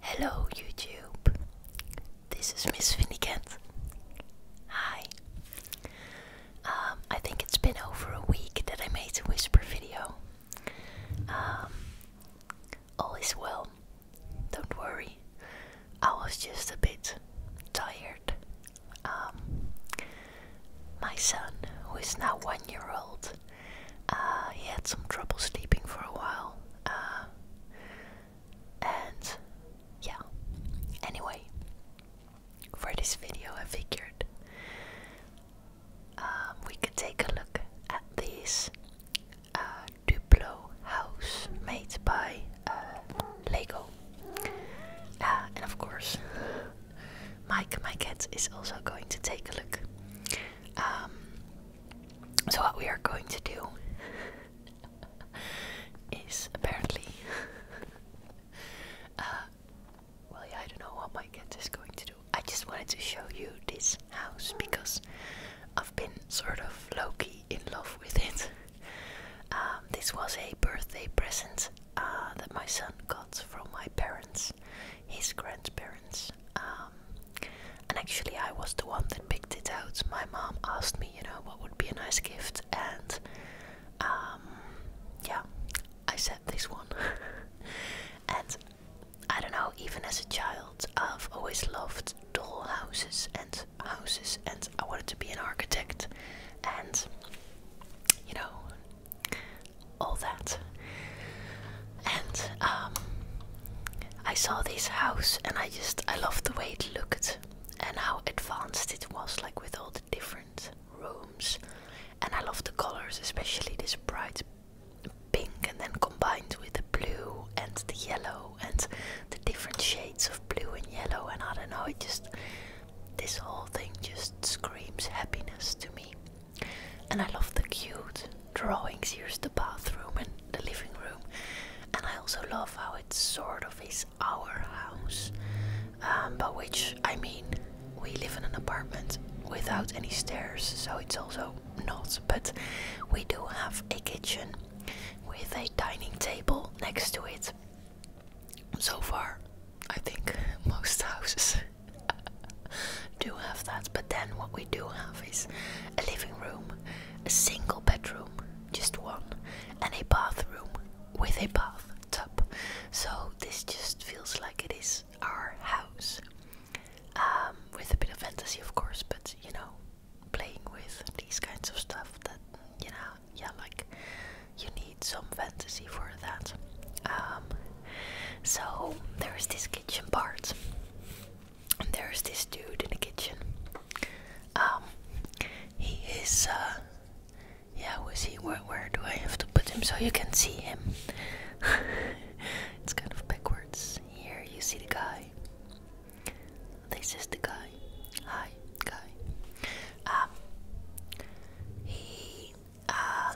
Hello YouTube, this is Miss Finnegant. Hi. Um, I think it's been over a week that I made a whisper video. Um, all is well, don't worry. I was just a bit tired. Um, my son, who is now one year old, uh, he had some trouble sleeping for a while. Uh, and yeah, anyway, for this video, I figured um, we could take a look at these uh, Duplo house made by uh, Lego. Uh, and of course, Mike, my cat, is also going to take a look. Um, so, what we are going to do is apparently. Uh, well, yeah, I don't know what my cat is going to do. I just wanted to show you this house because I've been sort of Loki in love with it. Um, this was a birthday present uh, that my son got from my parents his grandparents. Um, and actually, I was the one that picked it out. My mom asked me, you know, what would be a nice gift, and um, yeah, I said this one. and I don't know, even as a child, I've always loved doll houses and houses, and I wanted to be an architect, and you know, all that and um, I saw this house and I just I loved the way it looked and how advanced it was like with all the different rooms and I loved the colors especially this bright pink and then combined with the blue and the yellow and the different shades of blue and yellow and I don't know it just this whole thing just screams happiness to me and I love the cute drawings. Here's the bathroom and the living room. And I also love how it sort of is our house. Um, by which I mean, we live in an apartment without any stairs, so it's also not. But we do have a kitchen with a dining table next to it. So far, I think most houses do have that, but then what we do have is a living room, a single bedroom, just one, and a bathroom with a bathtub. So this just feels like it is our house. Um, with a bit of fantasy, of course, but you know, playing with these kinds of stuff that, you know, yeah, like you need some fantasy for that. Um, so there is this kitchen part there's this dude in the kitchen. Um, he is, uh, yeah, was he? Where, where do I have to put him so you can see him? it's kind of backwards. Here you see the guy. This is the guy. Hi, guy. Um, he, uh,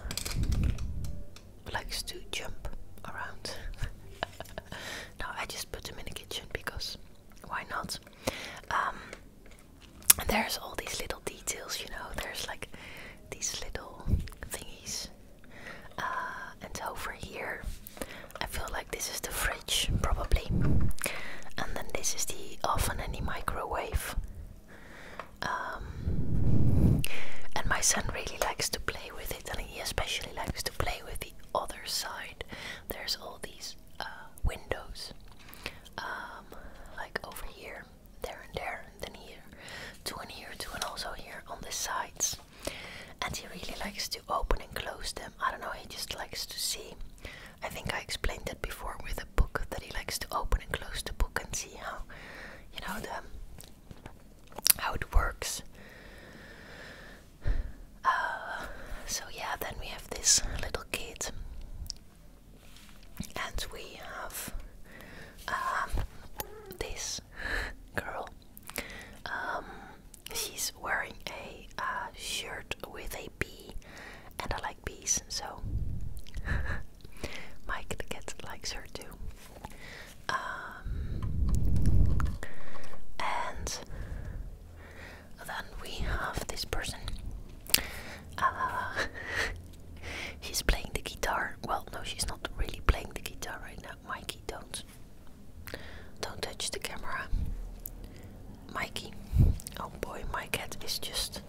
likes to jump around. Now I just put them in the kitchen because why not? Um, and there's all these little details, you know. There's like these little thingies, uh, and over here, I feel like this is the fridge probably, and then this is the oven and the microwave. Um, and my son really likes to play with it, and he especially likes to play with the other side. There's all these uh, windows, um, like over here, there, and there, and then here, two and here, two, and also here on the sides. And he really likes to open and close them. I don't know, he just likes to see. I think I explained that before with a book that he likes to open and close the book and see how, you know, the how it works. Uh, so yeah, then we have this little kid, and we have um, this girl. Um, she's wearing a uh, shirt with a bee, and I like bees, so Mike the cat likes her too. Um, and then we have this person. Uh, she's playing the guitar. Well, no, she's not really playing the guitar right now. Mikey, don't. Don't touch the camera. Mikey. Oh boy, my cat is just.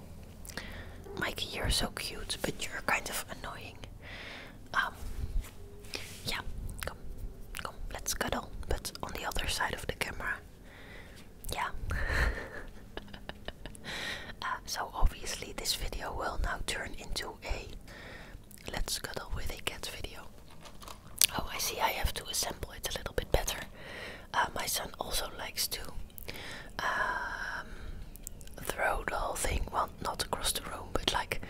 Mikey, you're so cute, but you're kind of annoying. Um, yeah, come, come, let's cuddle, but on the other side of the camera. Yeah. uh, so obviously this video will now turn into a let's cuddle with a cat video. Oh, I see. I have to assemble it a little bit better. Uh, my son also likes to um, throw the whole thing, well, not across the room, but like,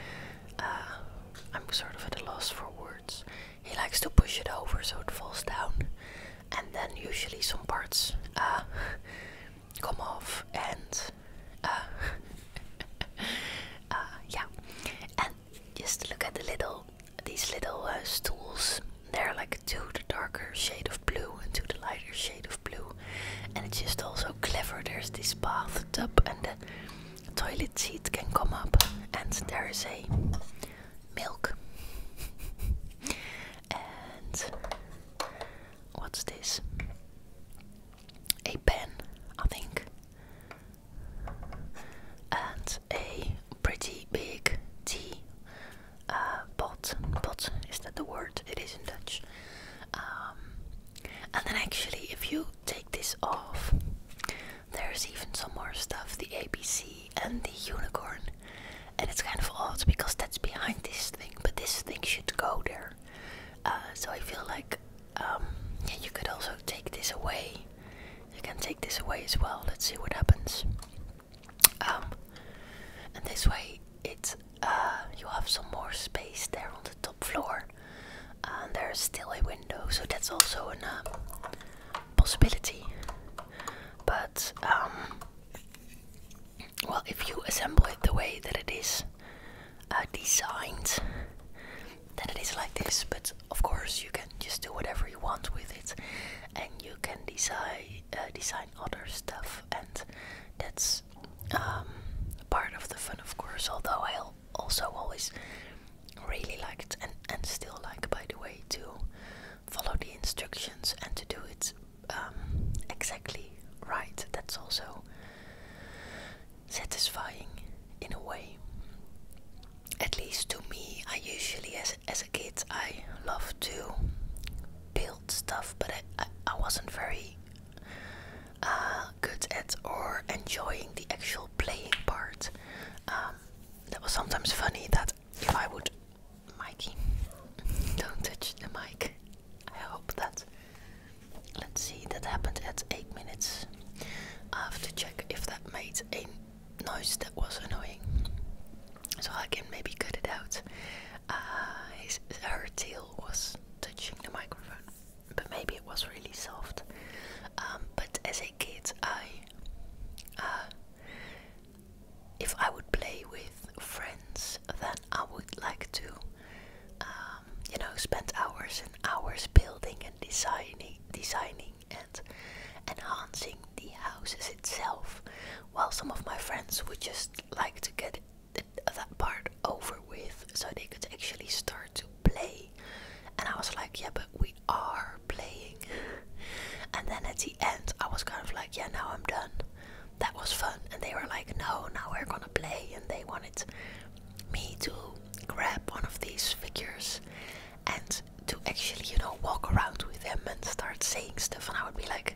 uh, I'm sort of at a loss for words. He likes to push it over so it falls down, and then usually some parts uh, come off, and uh, yeah, and just look at the little these little stools. They're like to the darker shade of blue and to the lighter shade of blue, and it's just also clever. There's this bathtub, and the toilet seat can come up, and there is a milk. and what's this? A pen, I think, and a pretty big tea uh, pot. Pot is that the word? It is in Dutch. Um, and then actually, if you take this off, there's even some more stuff: the ABC and the unicorn. And it's kind of odd because that's behind this thing, but this thing should go there. Uh, so I feel like um, you could also take this away. You can take this away as well. Let's see what happens. Um, and this way, it uh, you have some more space there on the top floor. And there's still a window, so that's also a uh, possibility. But, um, well, if you assemble it the way that it is uh, designed, then it is like this. But of course, you can just do whatever you want with it, and you can design design other stuff, and that's um, part of the fun, of course. Although I also always really liked and and still like, by the way, to follow the instructions and to do it um, exactly right. That's also satisfying in a way. At least to me, I usually as as a kid I love to build stuff, but I, I, wasn't very uh, good at or enjoying the actual playing part. Um, that was sometimes funny that if I would. Mikey, don't touch the mic. I hope that. Let's see, that happened at 8 minutes. I have to check if that made a noise that was annoying so I can maybe cut it out. Uh, her tail was touching the microphone, but maybe it was really soft. Um, but as a kid, I, uh, if I would play with friends, then I would like to, um, you know, spend hours and hours building and designing, designing and enhancing the houses itself. While some of my friends would just like to get that part over with so they could actually start to play. And I was like, yeah, but we are playing. and then at the end, I was kind of like, yeah, now I'm done. That was fun. And they were like, no, now we're gonna play. And they wanted me to grab one of these figures and to actually, you know, walk around with them and start saying stuff. And I would be like,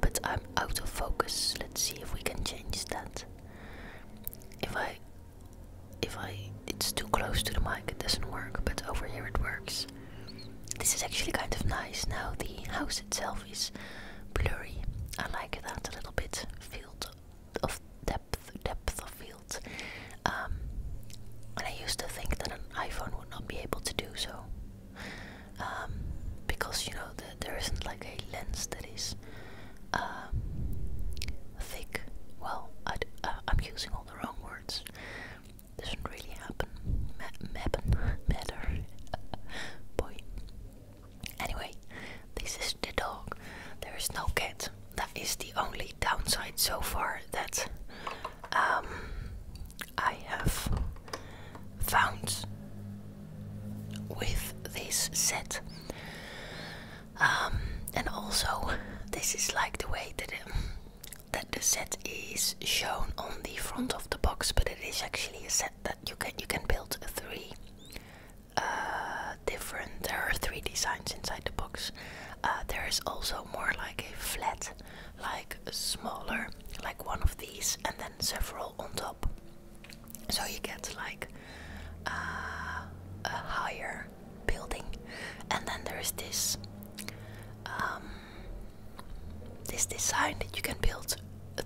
but I'm out of focus. Let's see if we can change that. If I if I it's too close to the mic it doesn't work, but over here it works. This is actually kind of nice now the house itself is blurry. I like that a little bit. Field of depth depth of field. Um and I used to think that an iPhone would not be able to do so. Um, because you know that there isn't like a lens that is um, thick. Well, i am uh, using all the wrong words. Doesn't really happen. Ma matter. Boy. Anyway, this is the dog. There is no cat. That is the only downside so far that um, I have found with this set. Um, and also, this is like the way that, um, that the set is shown on the front of the box, but it is actually a set that you can you can build three uh, different. There are three designs inside the box. Uh, there is also more like a flat, like smaller like one of these and then several on top. So you get like uh, a higher building, and then there is this um, this design that you can build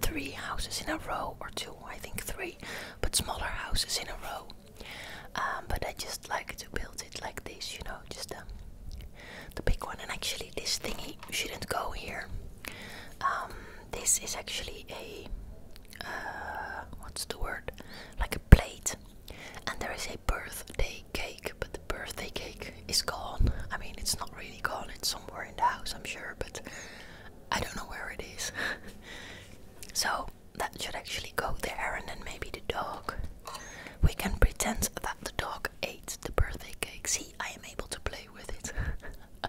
three houses in a row or two, I think three, but smaller houses in a row. Um, but I just like to build it like this, you know, just the big one. And actually, this thingy shouldn't go here. Um, this is actually a uh, what's the word? Like a plate, and there is a birthday cake, but the birthday cake is gone. I mean, it's not really gone. It's somewhere in the house, I'm sure, but I don't know where it is. so that should actually go there, and then maybe the dog. We can pretend that the dog ate the birthday cake. See, I am able to play with it.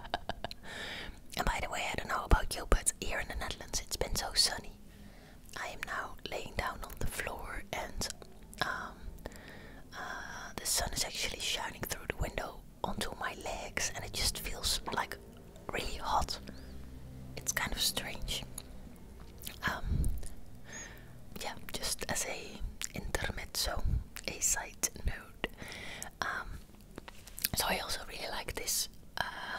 and by the way, I don't know about you, but here in the Netherlands it's been so sunny. I am now laying down on the floor, and um, uh, the sun is actually shining through the window onto my legs, and it just feels like really hot. It's kind of strange. Um, yeah, just as a intermezzo, a side note. Um, so I also really like this. Uh,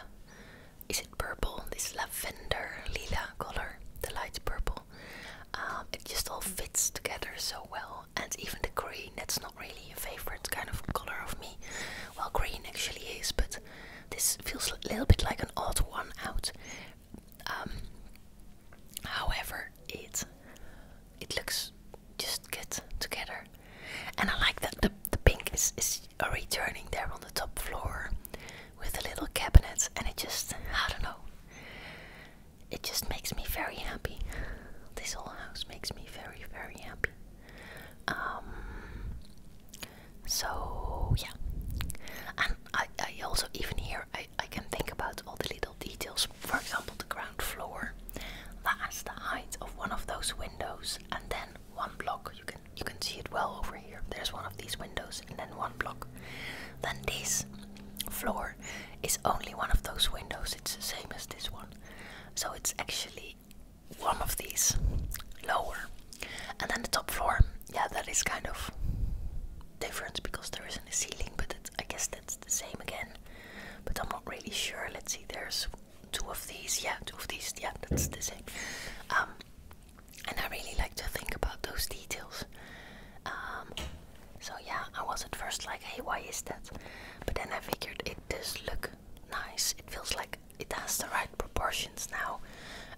is it purple? This lavender lila color, the light purple. Um, it just all fits together so well, and even the green. That's not really a favorite kind of color of me. Well, green actually is, but this feels a little bit like an odd one out. Um, however, it it looks just good together, and I like that the the pink is is returning there on the top floor with the little cabinets, and it just I don't know. It just makes me very happy. This whole house makes me very very happy. Um. So yeah, and I I also even hear I, can think about all the little details. For example, the ground floor. That has the height of one of those windows, and then one block. You can you can see it well over here. There's one of these windows, and then one block. Then this floor is only one of those windows. It's the same as this one, so it's actually one of these lower. And then the top floor. Yeah, that is kind of different because there isn't a ceiling, but it's. I guess that's the same again, but I'm not really sure. Let's see, there's two of these. Yeah, two of these. Yeah, that's the same. Um, and I really like to think about those details. Um, so yeah, I was at first like, hey, why is that? But then I figured it does look nice. It feels like it has the right proportions now.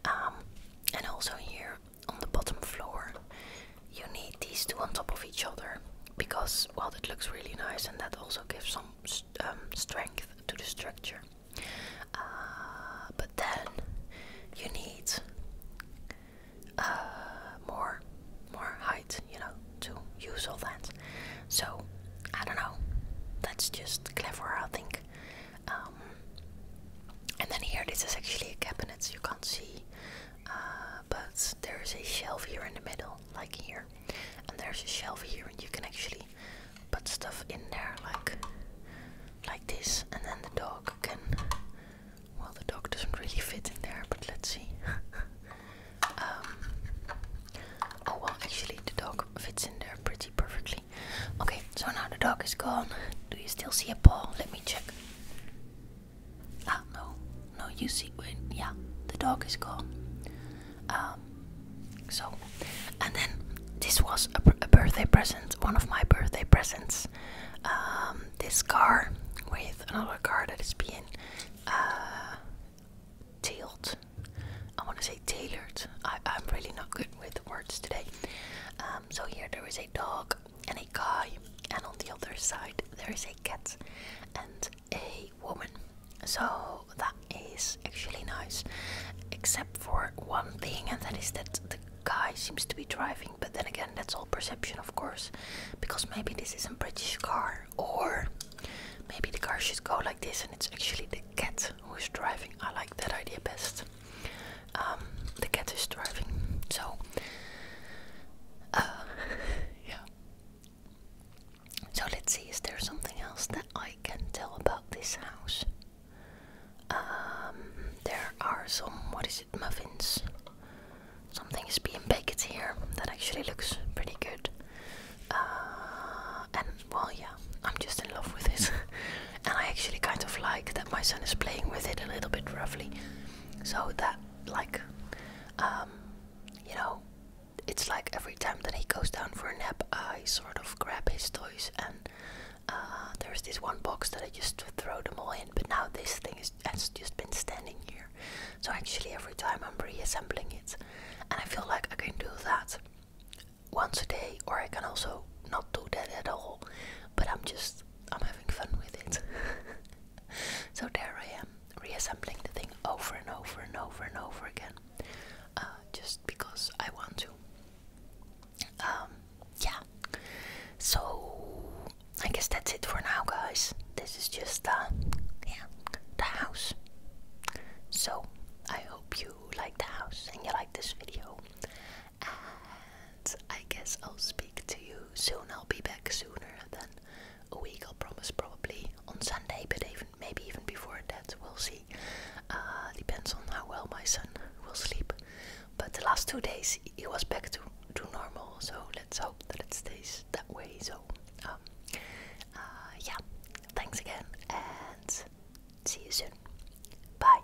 Um, and also here on the bottom floor, you need these two on top of each other because, well, it looks really nice and that also gives some um, strength to the structure. Uh, but then you need uh, more, more height, you know, to use all that. So I don't know. That's just clever, I think. Um, and then here, this is actually a cabinet. You can't see uh, but there's a shelf here in the middle like here and there's a shelf here and you can actually put stuff in there like like this and then the dog can well the dog doesn't really fit in there but let's see um, oh well actually the dog fits in there pretty perfectly okay so now the dog is gone do you still see a paw let me check Ah, no. No, you see, when, yeah, the dog is gone. Um, so, and then this was a, birthday present, one of my birthday presents. Um, this car with another car that is being uh, tailed. I want to say tailored. I, I'm really not good with words today. Um, so here there is a dog and a guy, and on the other side there is a cat and a woman. So that is actually nice, except for one thing, and that is that the guy seems to be driving, but then again, that's all perception, of course, because maybe this is a British car, or maybe the car should go like this, and it's actually the cat who is driving. I like that idea best. Um, the cat is driving, so uh, yeah. So let's see, is there something else that I can tell about this house? Um, there are some, what is it, muffins. Something is being baked here that actually looks pretty good. Uh, and well, yeah, I'm just in love with this. and I actually kind of like that my son is playing with it a little bit roughly. So that, like, um, you know, it's like every time that he goes down for a nap, I sort of grab his toys, and uh, there's this one box that I just throw them all in. But now this thing has just been standing here, so actually every time I'm reassembling it, and I feel like I can do that once a day, or I can also not do that at all. But I'm just I'm having fun with it. so there I am, reassembling the thing over and over and over and over again, uh, just because I want to. Um, yeah. So I guess that's it for now, guys. This is just uh, yeah, the house. So I hope you like the house and you like this video and I guess I'll speak to you soon. I'll be back sooner than a week, I'll promise, probably on Sunday, but even maybe even before that, we'll see. Uh, depends on how well my son will sleep. But the last two days, he was back to, to normal, so let's hope that it stays that way. So, um, uh, yeah, thanks again, and see you soon. Bye.